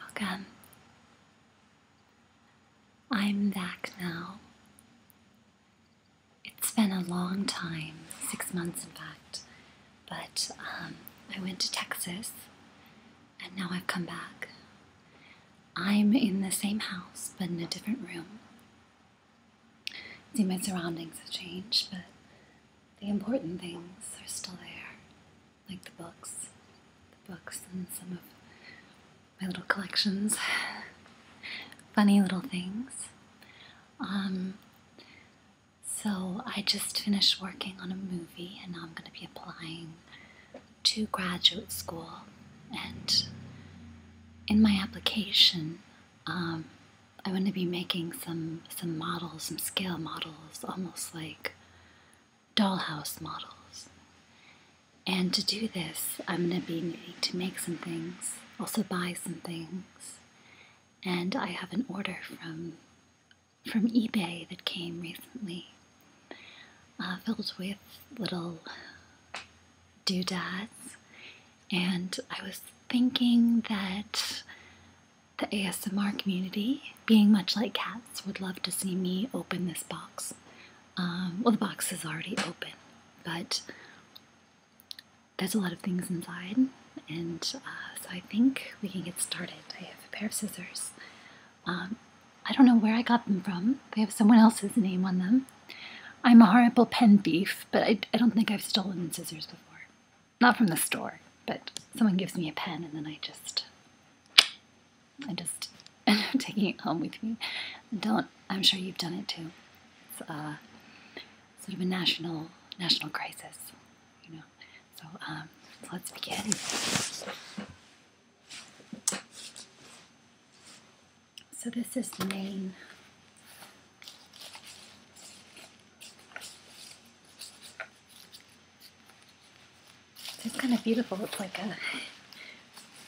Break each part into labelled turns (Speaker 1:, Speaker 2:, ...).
Speaker 1: Welcome. I'm back now. It's been a long time, six months in fact, but um, I went to Texas and now I've come back. I'm in the same house but in a different room. See, my surroundings have changed, but the important things are still there, like the books, the books and some of my little collections, funny little things. Um, so I just finished working on a movie and now I'm going to be applying to graduate school and in my application um, I want to be making some some models, some scale models, almost like dollhouse models. And to do this, I'm going to be needing to make some things, also buy some things. And I have an order from from eBay that came recently, uh, filled with little doodads. And I was thinking that the ASMR community, being much like cats, would love to see me open this box. Um, well, the box is already open, but there's a lot of things inside, and uh, so I think we can get started. I have a pair of scissors. Um, I don't know where I got them from. They have someone else's name on them. I'm a horrible pen thief, but I don't think I've stolen scissors before. Not from the store, but someone gives me a pen and then I just, I just end up taking it home with me. Don't, I'm sure you've done it too. It's a uh, sort of a national, national crisis, you know. So, um, so let's begin. So this is the main it's kind of beautiful. It's like a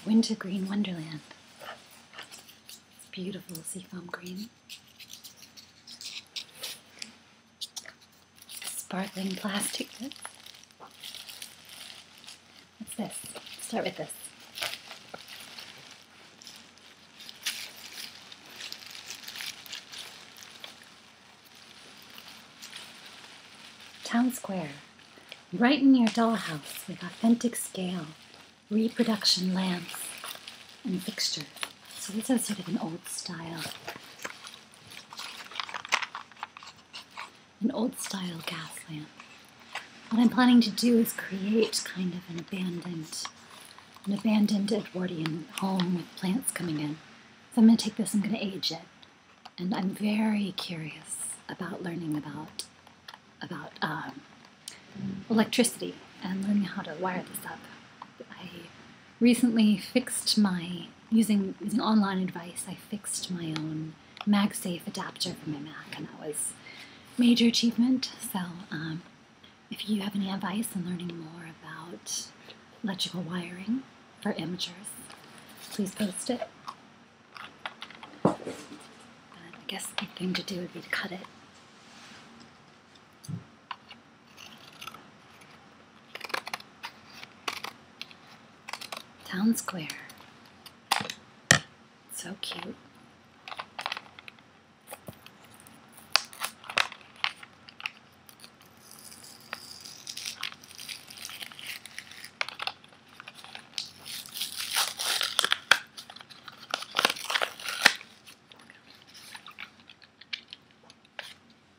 Speaker 1: winter green wonderland. It's beautiful foam green. Sparkling plastic. What's this? Start with this. Town Square, right in your dollhouse with authentic scale, reproduction lamps, and fixtures. So this is sort of an old style, an old style gas lamp. What I'm planning to do is create kind of an abandoned an abandoned Edwardian home with plants coming in. So I'm going to take this, I'm going to age it. And I'm very curious about learning about, about um, electricity and learning how to wire this up. I recently fixed my, using, using online advice, I fixed my own MagSafe adapter for my Mac and that was major achievement. So um, if you have any advice on learning more about electrical wiring for amateurs, please post it. I guess the thing to do would be to cut it. Town Square. So cute.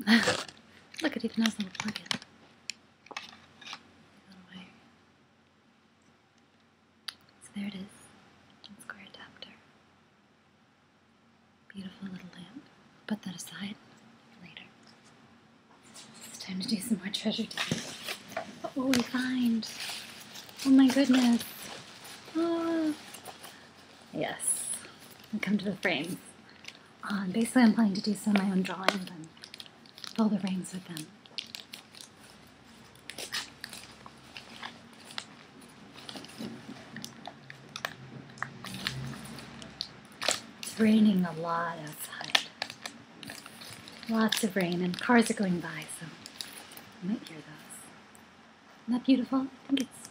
Speaker 1: Look, it even has a little plug in. So there it is. One square adapter. Beautiful little lamp. Put that aside later. It's time to do some more treasure digging. What will we find? Oh my goodness. Oh. Yes. And come to the frames. Ah, basically, I'm planning to do some of my own drawings and fill the frames with them. It's raining a lot outside. Lots of rain, and cars are going by, so I might hear those. Isn't that beautiful? I think it's.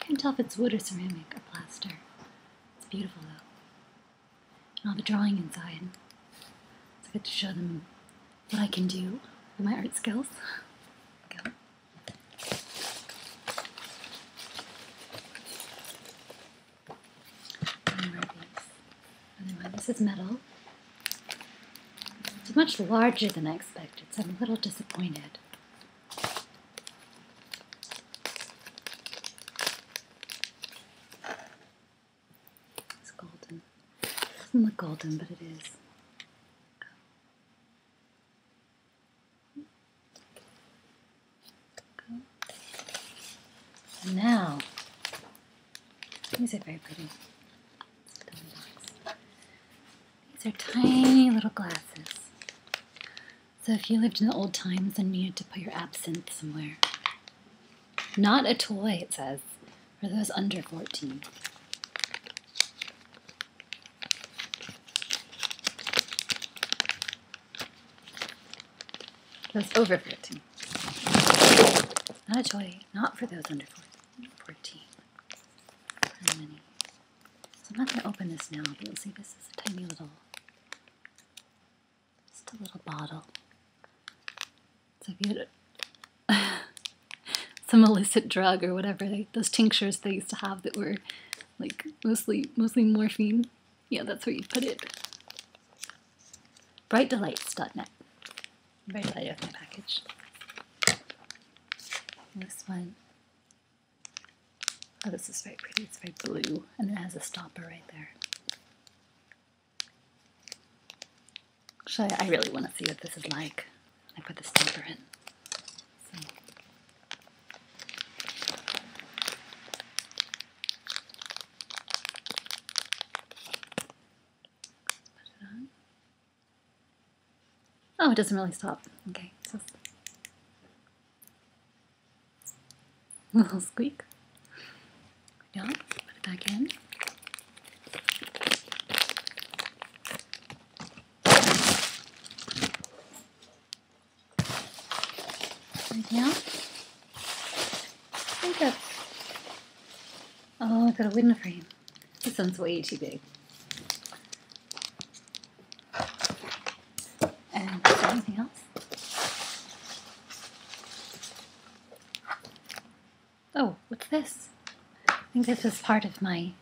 Speaker 1: I can't tell if it's wood or ceramic or plaster. It's beautiful, though. And all the drawing inside. It's I get to show them what I can do with my art skills. Anyway, this is metal. It's much larger than I expected, so I'm a little disappointed. It's golden. It doesn't look golden, but it is now, these are very pretty. These are tiny little glasses. So if you lived in the old times and needed to put your absinthe somewhere, not a toy, it says for those under 14. Those over 14. Not a toy, not for those under 14. So I'm not going to open this now, but you'll see this is a tiny little, just a little bottle. So if you had some illicit drug or whatever, like those tinctures they used to have that were like mostly mostly morphine, yeah, that's where you put it. Brightdelights.net. Bright delight of my package. this one. Oh, this is very pretty. It's very blue, and it has a stopper right there. Actually, I really want to see what this is like. I put the stopper in. Oh, it doesn't really stop. Okay, so a little squeak. Yeah, put it back in. Right now. I think Oh, I got a window frame. This one's way too big. anything else? Oh, what's this? I think this is part of my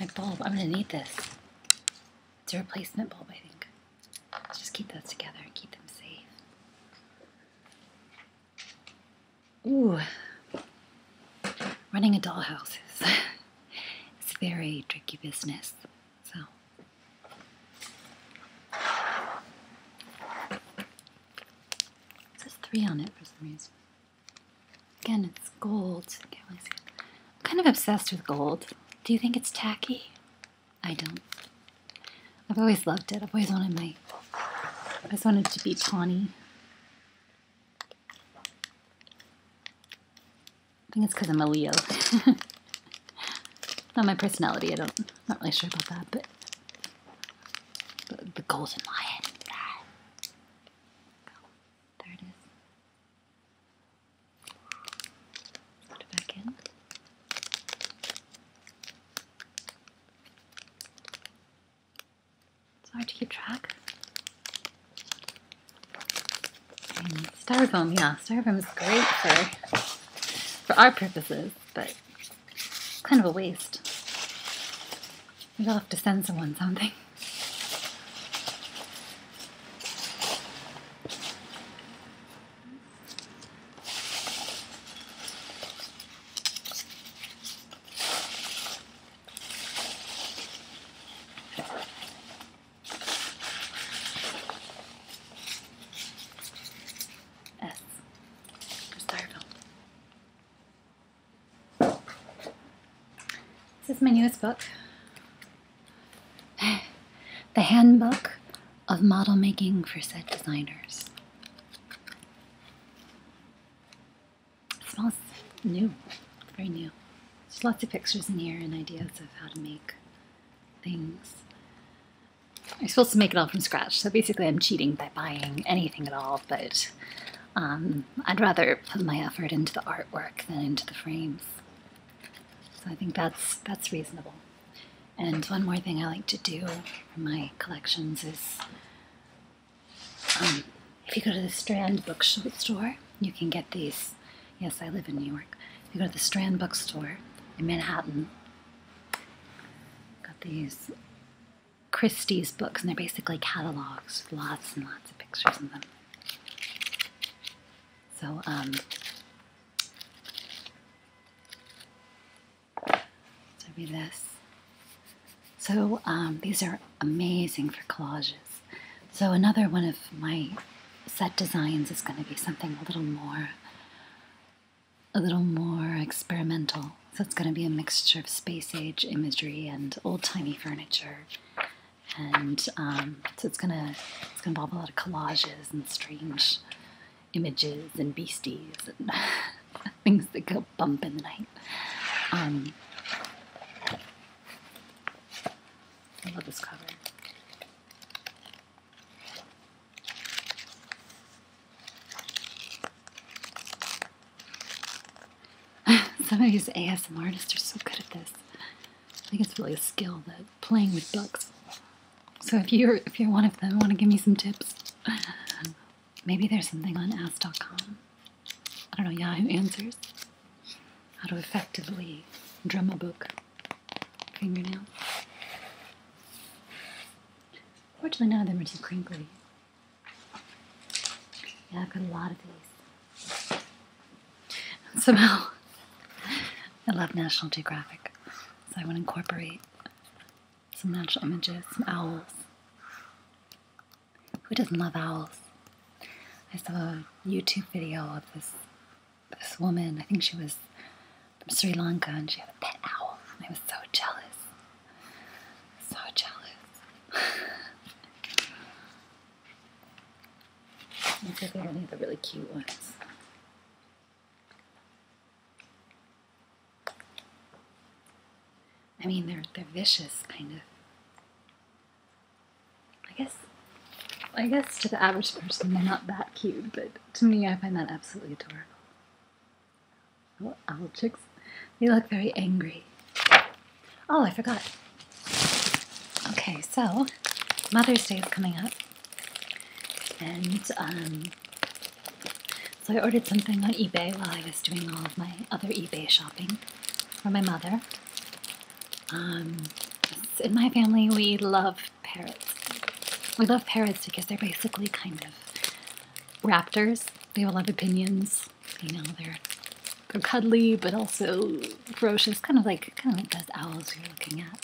Speaker 1: my bulb. I'm gonna need this. It's a replacement bulb, I think. Let's just keep those together and keep them safe. Ooh, running a dollhouse is it's very tricky business. So it says three on it for some reason. Again, it's gold. I'm kind of obsessed with gold. Do you think it's tacky? I don't. I've always loved it. I've always wanted my. I just wanted to be tawny. I think it's because I'm a Leo. Not my personality. I don't. Not really sure about that, but the, golden lion. in my head. Ah. there it is. Put it back in. It's to keep track. And styrofoam, yeah, styrofoam is great for for our purposes, but Kind of a waste. Maybe I'll have to send someone something. S. Starfield. This is my newest book, The Handbook of Model Making for Set Designers. It smells new, very new. There's lots of pictures in here and ideas of how to make things. I'm supposed to make it all from scratch, so basically I'm cheating by buying anything at all, but um, I'd rather put my effort into the artwork than into the frames. So I think that's, that's reasonable. And one more thing I like to do in my collections is um, if you go to the Strand bookstore, you can get these. Yes, I live in New York. If you go to the Strand bookstore in Manhattan, got these Christie's books, and they're basically catalogs, with lots and lots of pictures in them. So, um, so this. So um, these are amazing for collages. So another one of my set designs is going to be something a little more a little more experimental. So it's going to be a mixture of space age imagery and old timey furniture, and um, so it's gonna it's gonna involve a lot of collages and strange images and beasties and things that go bump in the night. Um, I love this cover. Some of these ASM artists are so good at this. I think it's really a skill that playing with books. So if you're if you're one of them, want to give me some tips? Maybe there's something on Ask.com. I don't know Yahoo Answers. How to effectively drum a book fingernail. Fortunately, none of them are too crinkly. Yeah, I've got a lot of these. somehow, I love National Geographic, so I want to incorporate some natural images, some owls. Who doesn't love owls? I saw a YouTube video of this this woman. I think she was from Sri Lanka and she had a pet owl. I was so jealous. So jealous. These are the only the really cute ones. I mean, they're they're vicious, kind of. I guess, I guess to the average person, they're not that cute, but to me, I find that absolutely adorable. Oh, owl chicks. They look very angry. Oh, I forgot. Okay, so Mother's Day is coming up. And um, so I ordered something on eBay while I was doing all of my other eBay shopping for my mother. Um, in my family, we love parrots. We love parrots because they're basically kind of raptors. They have a lot of opinions. You know, they're they're cuddly but also ferocious, kind of like kind of like those owls you're looking at.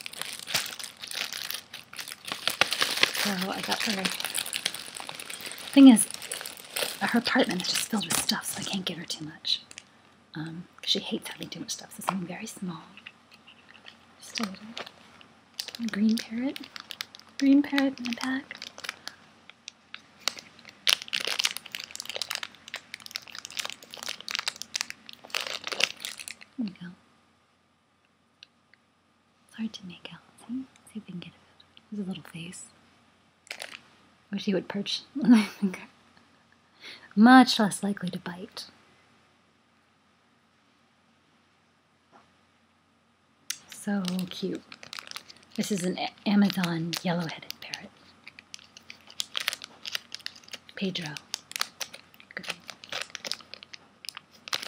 Speaker 1: So I got her. Thing is, her apartment is just filled with stuff, so I can't give her too much. Um, she hates having too much stuff, so something very small. Just a little green parrot. Green parrot in the back. There we go. It's hard to make out. See, if we can get a it. There's a little face. Wish he would perch on my finger. Much less likely to bite. So cute. This is an Amazon yellow-headed parrot. Pedro. Good.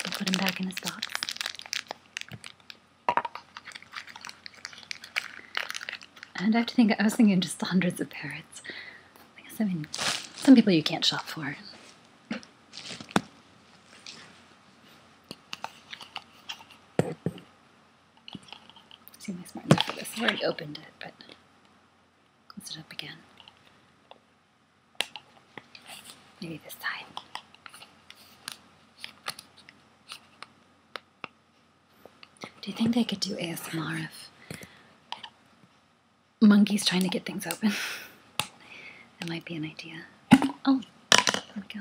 Speaker 1: We'll put him back in his box. And I have to think, I was thinking just hundreds of parrots. I guess, I mean, some people you can't shop for. Seem like smart enough for this. I already opened it, but close it up again. Maybe this time. Do you think they could do ASMR if monkeys trying to get things open. that might be an idea. Oh, there we go.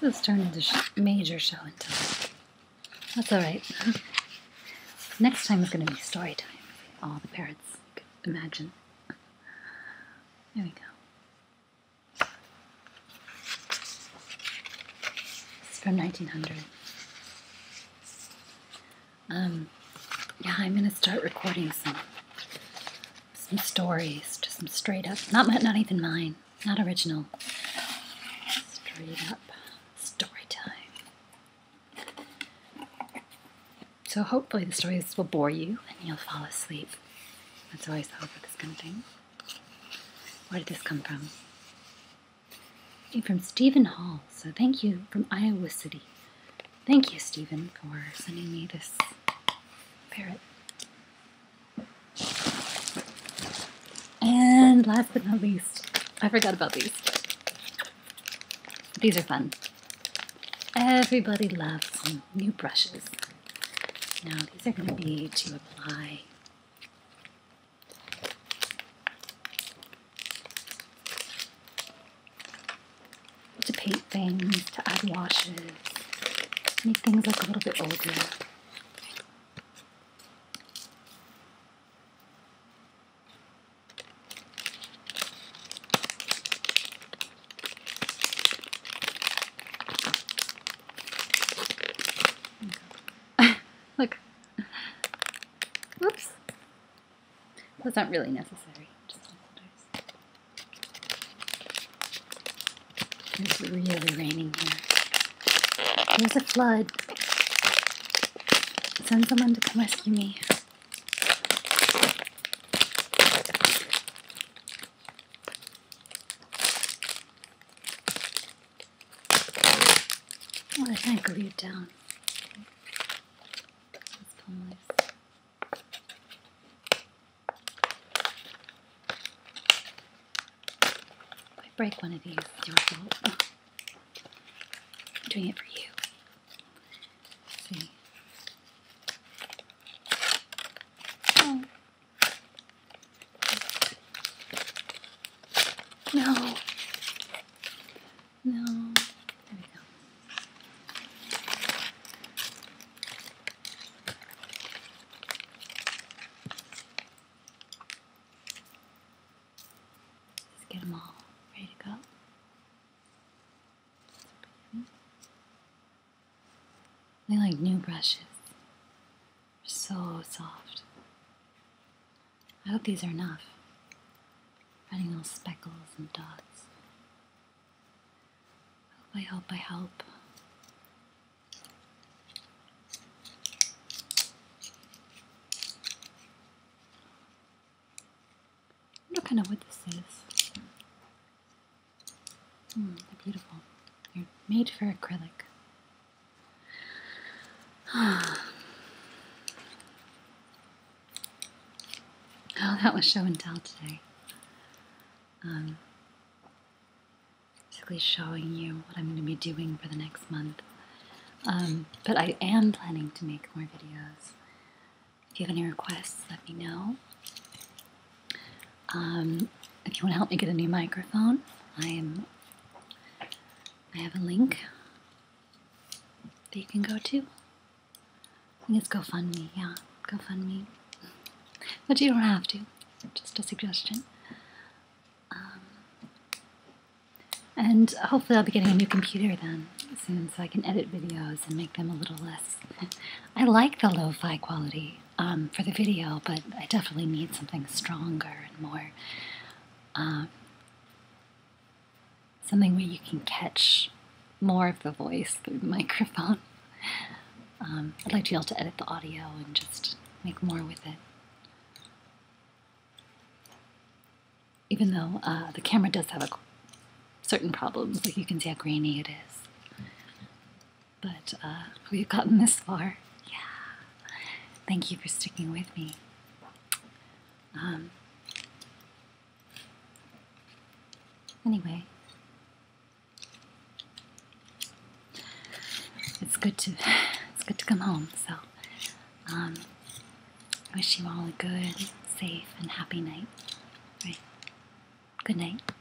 Speaker 1: This turned into sh major show and tell. That's all right. Next time is going to be story time. All the parrots, imagine. There we go. It's from 1900. Um, yeah, I'm going to start recording some some stories, just some straight up, not not even mine, not original, straight up story time. So hopefully the stories will bore you and you'll fall asleep. That's always the hope of this kind of thing. Where did this come from? From Stephen Hall. So thank you from Iowa City. Thank you, Stephen, for sending me this parrot. And last but not least, I forgot about these. These are fun. Everybody loves new brushes. Now, these are going to be to apply to paint things, to add washes, make things look a little bit older. Look. Whoops. That's not really necessary. It's really raining here. There's a flood. Send someone to come rescue me. Well, I kind of glued down. If I break one of these, I'm doing it for you. see. Oh. No. No. There we go. Let's get them all ready to go. They like new brushes. They're so soft. I hope these are enough. Finding little speckles and dots. I hope I help. I don't kind of what this is. Hmm, they're beautiful. They're made for acrylic. Oh, that was show and tell today. Um, basically showing you what I'm going to be doing for the next month. Um, but I am planning to make more videos. If you have any requests, let me know. Um, if you want to help me get a new microphone, I am. I have a link that you can go to. I think it's GoFundMe. Yeah, GoFundMe. But you don't have to. Just a suggestion. Um, and hopefully I'll be getting a new computer then soon so I can edit videos and make them a little less. I like the lo-fi quality. Um, for the video, but I definitely need something stronger and more. Um, something where you can catch more of the voice through the microphone. Um, I'd like to be able to edit the audio and just make more with it. Even though uh, the camera does have a certain problems, like you can see how grainy it is but uh, we've gotten this far. Yeah. Thank you for sticking with me. Um, anyway, it's good to it's good to come home. So, um, I wish you all a good, safe, and happy night. All right. Good night.